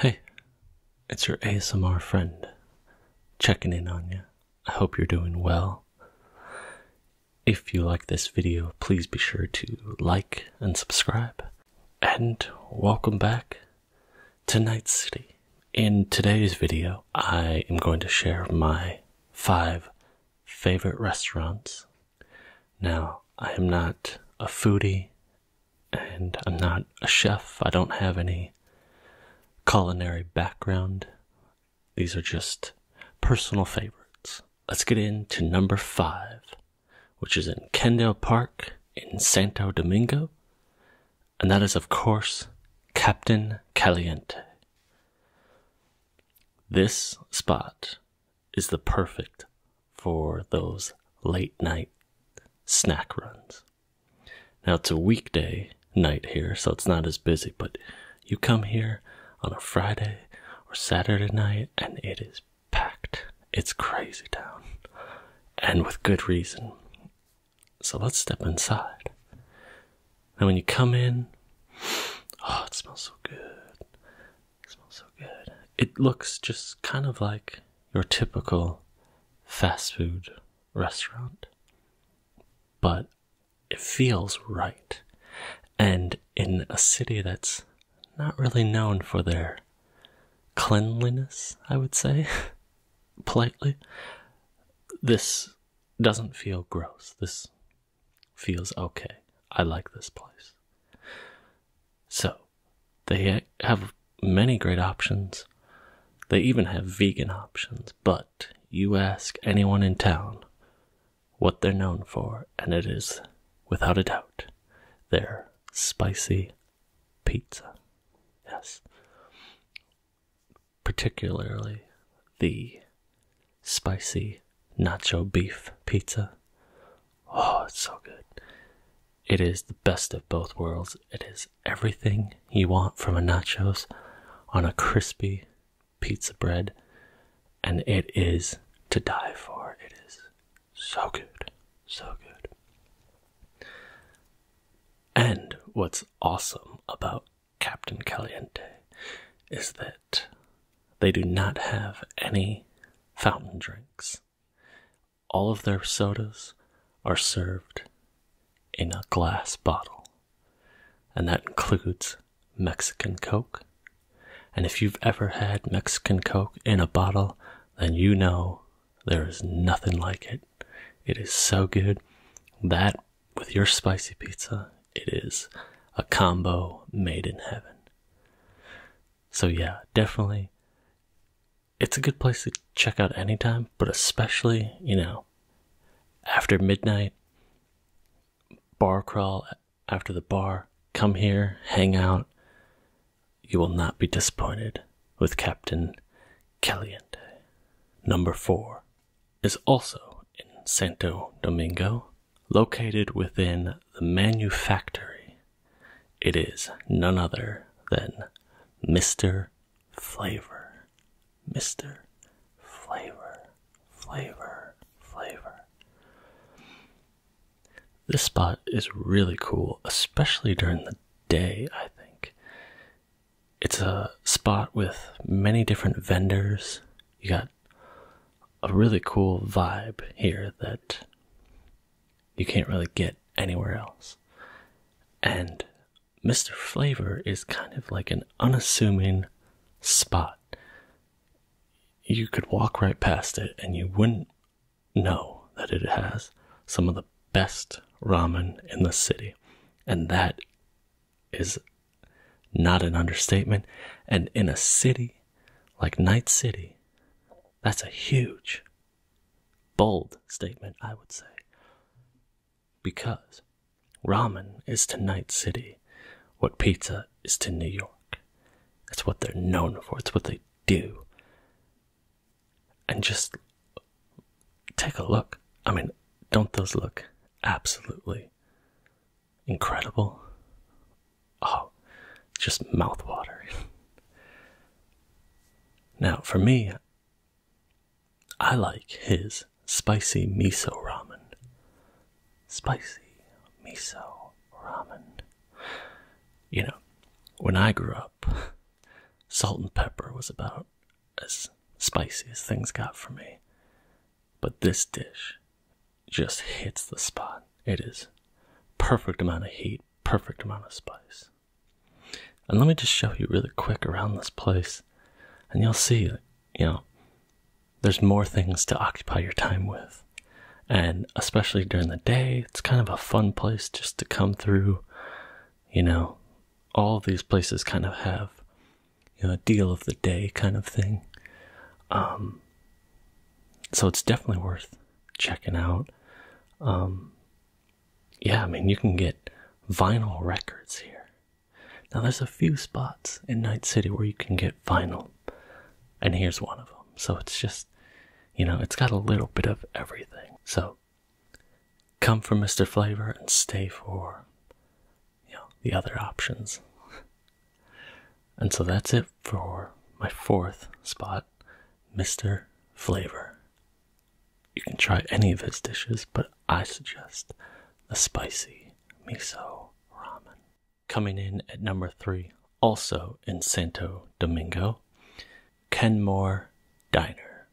Hey, it's your ASMR friend checking in on you. I hope you're doing well. If you like this video, please be sure to like and subscribe. And welcome back to Night City. In today's video, I am going to share my five favorite restaurants. Now, I am not a foodie and I'm not a chef. I don't have any culinary background. These are just personal favorites. Let's get into number five, which is in Kendall Park in Santo Domingo, and that is, of course, Captain Caliente. This spot is the perfect for those late night snack runs. Now it's a weekday night here, so it's not as busy, but you come here on a Friday or Saturday night and it is packed. It's crazy town. And with good reason. So let's step inside. And when you come in, oh, it smells so good smells so good. It looks just kind of like your typical fast food restaurant, but it feels right. And in a city that's not really known for their cleanliness, I would say, politely, this doesn't feel gross. This feels okay. I like this place. So, they have many great options. They even have vegan options, but you ask anyone in town what they're known for, and it is, without a doubt, their spicy pizza. Yes. Particularly the spicy nacho beef pizza. Oh, it's so good. It is the best of both worlds. It is everything you want from a nachos on a crispy pizza bread, and it is to die for. It is so good, so good. And what's awesome about Captain Caliente is that they do not have any fountain drinks. All of their sodas are served in a glass bottle, and that includes Mexican Coke. And if you've ever had Mexican Coke in a bottle, then you know there is nothing like it. It is so good. That with your spicy pizza, it is a combo made in heaven. So yeah, definitely it's a good place to check out anytime, but especially, you know, after midnight, bar crawl after the bar, come here, hang out. You will not be disappointed with Captain Kelly and Number four is also in Santo Domingo, Located within the manufactory, it is none other than Mr. Flavor. Mr. Flavor, flavor, flavor. This spot is really cool, especially during the day, I think. It's a spot with many different vendors. You got a really cool vibe here that you can't really get anywhere else. And Mr. Flavor is kind of like an unassuming spot. You could walk right past it and you wouldn't know that it has some of the best ramen in the city. And that is not an understatement. And in a city like Night City, that's a huge, bold statement, I would say. Because ramen is to Night City what pizza is to New York. It's what they're known for, it's what they do. And just take a look. I mean, don't those look absolutely incredible. Oh, just mouthwatering. now, for me, I like his spicy miso ramen. Spicy miso ramen. You know, when I grew up, salt and pepper was about as spicy as things got for me. But this dish just hits the spot. It is perfect amount of heat, perfect amount of spice. And let me just show you really quick around this place, and you'll see you know, there's more things to occupy your time with. And especially during the day, it's kind of a fun place just to come through. You know, all these places kind of have, you know, a deal of the day kind of thing. Um, so it's definitely worth checking out. Um, yeah, I mean, you can get vinyl records here. Now, there's a few spots in Night City where you can get vinyl, and here's one of them. So it's just, you know, it's got a little bit of everything. So come for Mr. Flavor and stay for, you know, the other options. And so that's it for my fourth spot, Mr. Flavor. You can try any of his dishes, but I suggest the spicy miso ramen. Coming in at number three, also in Santo Domingo, Kenmore Diner.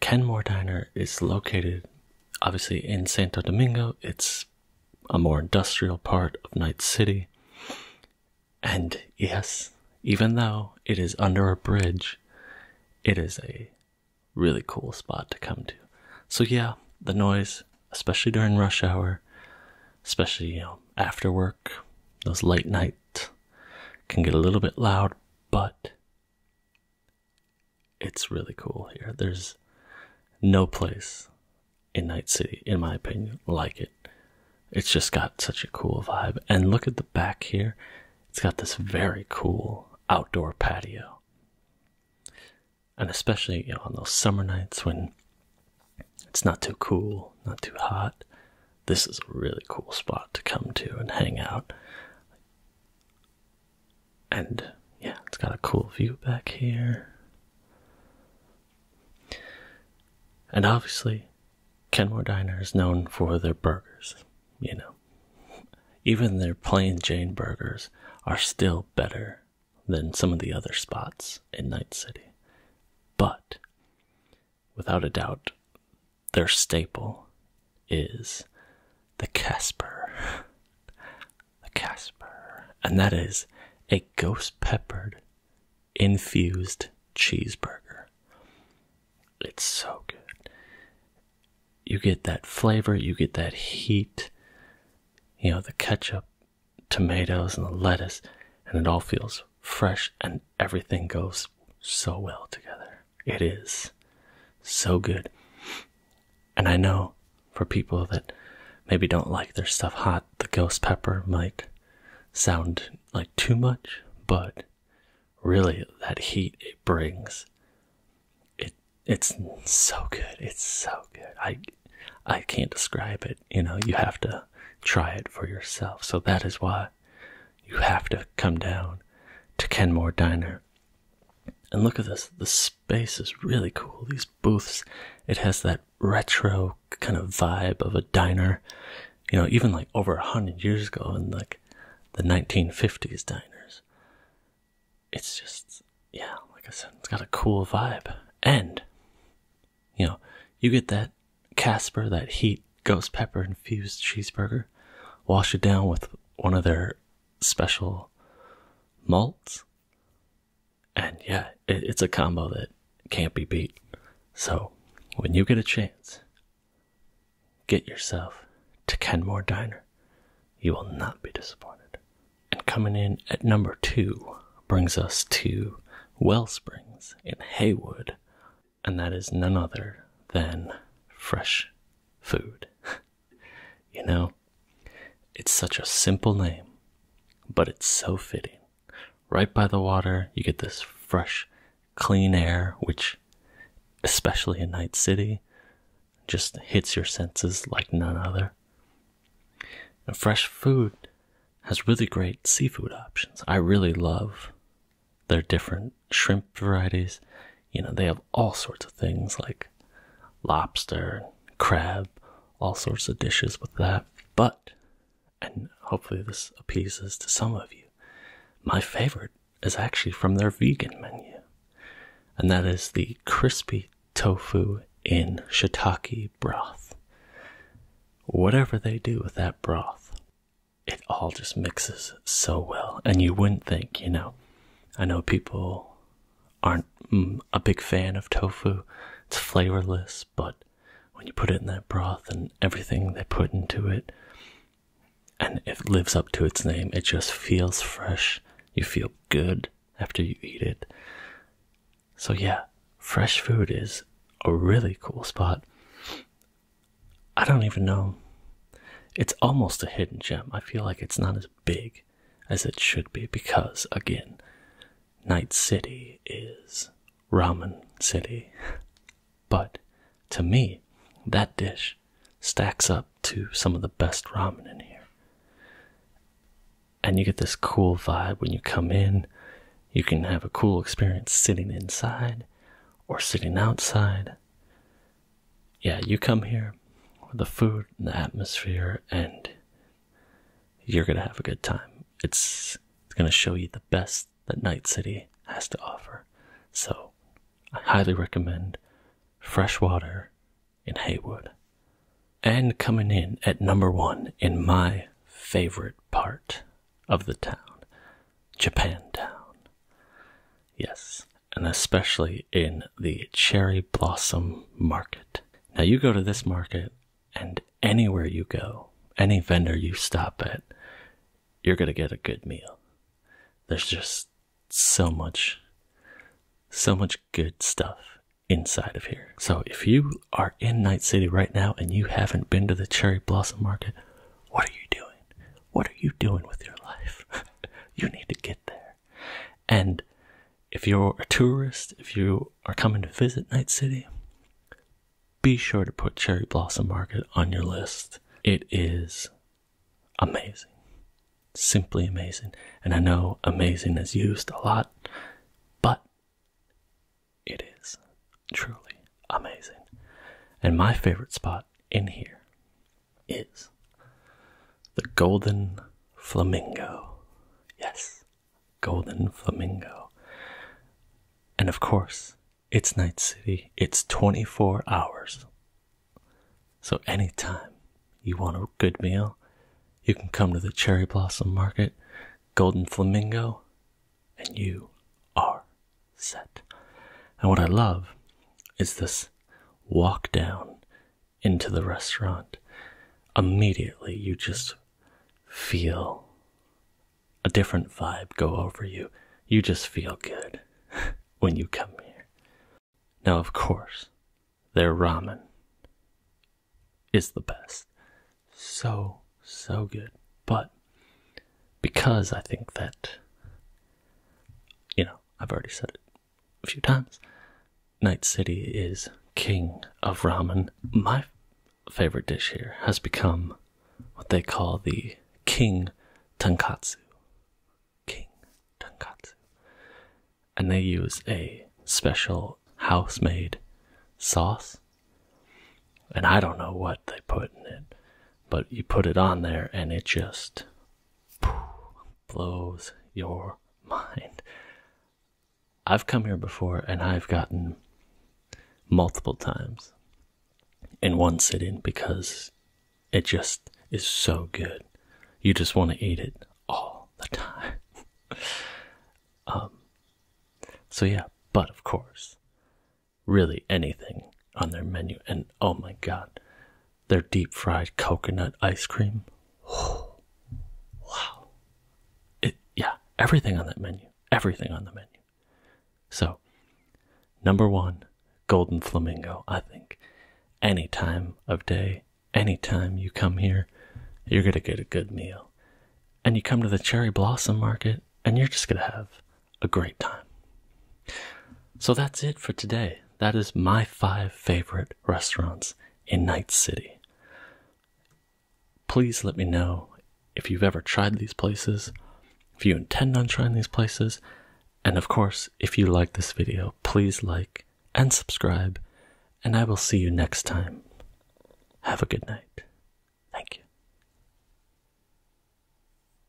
Kenmore Diner is located obviously in Santo Domingo. It's a more industrial part of Night City. And yes, even though it is under a bridge, it is a really cool spot to come to. So yeah, the noise, especially during rush hour, especially you know after work, those late nights can get a little bit loud, but it's really cool here. There's no place in Night City, in my opinion, like it. It's just got such a cool vibe. And look at the back here. It's got this very cool outdoor patio. And especially, you know, on those summer nights when it's not too cool, not too hot, this is a really cool spot to come to and hang out and yeah, it's got a cool view back here. And obviously, Kenmore Diner is known for their burgers, you know. Even their plain Jane burgers are still better than some of the other spots in Night City. But, without a doubt, their staple is the Casper. a Casper, and that is a ghost peppered infused cheeseburger. It's so good. You get that flavor, you get that heat, you know, the ketchup, tomatoes, and the lettuce, and it all feels fresh and everything goes so well together. It is so good. And I know for people that maybe don't like their stuff hot, the ghost pepper might sound like too much, but really that heat it brings it's so good. It's so good. I I can't describe it. You know, you have to try it for yourself. So that is why you have to come down to Kenmore Diner. And look at this. The space is really cool. These booths, it has that retro kind of vibe of a diner, you know, even like over a hundred years ago in like the 1950s diners. It's just, yeah, like I said, it's got a cool vibe. And, you know, you get that Casper, that heat ghost pepper infused cheeseburger, wash it down with one of their special malts and yeah, it's a combo that can't be beat. So when you get a chance, get yourself to Kenmore Diner. You will not be disappointed. And coming in at number two brings us to Well Springs in Haywood, and that is none other than fresh food. You know, it's such a simple name, but it's so fitting. Right by the water, you get this fresh, clean air, which, especially in Night City, just hits your senses like none other. And fresh food has really great seafood options. I really love their different shrimp varieties you know, they have all sorts of things like lobster, crab, all sorts of dishes with that. But, and hopefully this appeases to some of you, my favorite is actually from their vegan menu, and that is the crispy tofu in shiitake broth. Whatever they do with that broth, it all just mixes so well, and you wouldn't think, you know. I know people aren't mm, a big fan of tofu. It's flavorless, but when you put it in that broth and everything they put into it, and it lives up to its name, it just feels fresh. You feel good after you eat it. So, yeah, fresh food is a really cool spot. I don't even know. It's almost a hidden gem. I feel like it's not as big as it should be because, again, Night City is ramen city. But to me, that dish stacks up to some of the best ramen in here. And you get this cool vibe when you come in. You can have a cool experience sitting inside or sitting outside yeah, you come here with the food and the atmosphere, and you're gonna have a good time. It's, gonna show you the best that Night City has to offer. So, I highly recommend Freshwater in Haywood. And coming in at number one in my favorite part of the town, Japantown. Yes, and especially in the cherry blossom market. Now, you go to this market, and anywhere you go, any vendor you stop at, you're going to get a good meal. There's just so much, so much good stuff inside of here. So, if you are in Night City right now and you haven't been to the cherry blossom market, what are you doing? What are you doing with your life? you need to get there. And if you're a tourist, if you are coming to visit Night City, be sure to put Cherry Blossom Market on your list. It is amazing. Simply amazing. And I know amazing is used a lot, but it is truly amazing. And my favorite spot in here is the golden flamingo. Yes, golden flamingo. And of course, it's Night City, it's 24 hours. So, anytime you want a good meal, you can come to the Cherry Blossom Market, Golden Flamingo, and you are set. And what I love is this walk down into the restaurant, immediately you just feel a different vibe go over you. You just feel good when you come here. Now, of course, their ramen is the best. So, so good. But because I think that you know, I've already said it a few times. Night City is king of ramen. My favorite dish here has become what they call the king tonkatsu. King tonkatsu. And they use a special house made sauce. And I don't know what they put in it, but you put it on there and it just blows your mind. I've come here before and I've gotten multiple times in one sitting because it just is so good. You just want to eat it all the time. um, so, yeah, but of course, really anything on their menu. And oh my god, their deep fried coconut ice cream. wow. It, yeah, everything on that menu. Everything on the menu. So, number one, Golden Flamingo, I think. Any time of day, any time you come here, you're going to get a good meal. And you come to the Cherry Blossom Market, and you're just going to have a great time. So that's it for today. That is my five favorite restaurants in Night City. Please let me know if you've ever tried these places, if you intend on trying these places, and of course, if you like this video, please like and subscribe, and I will see you next time. Have a good night. Thank you.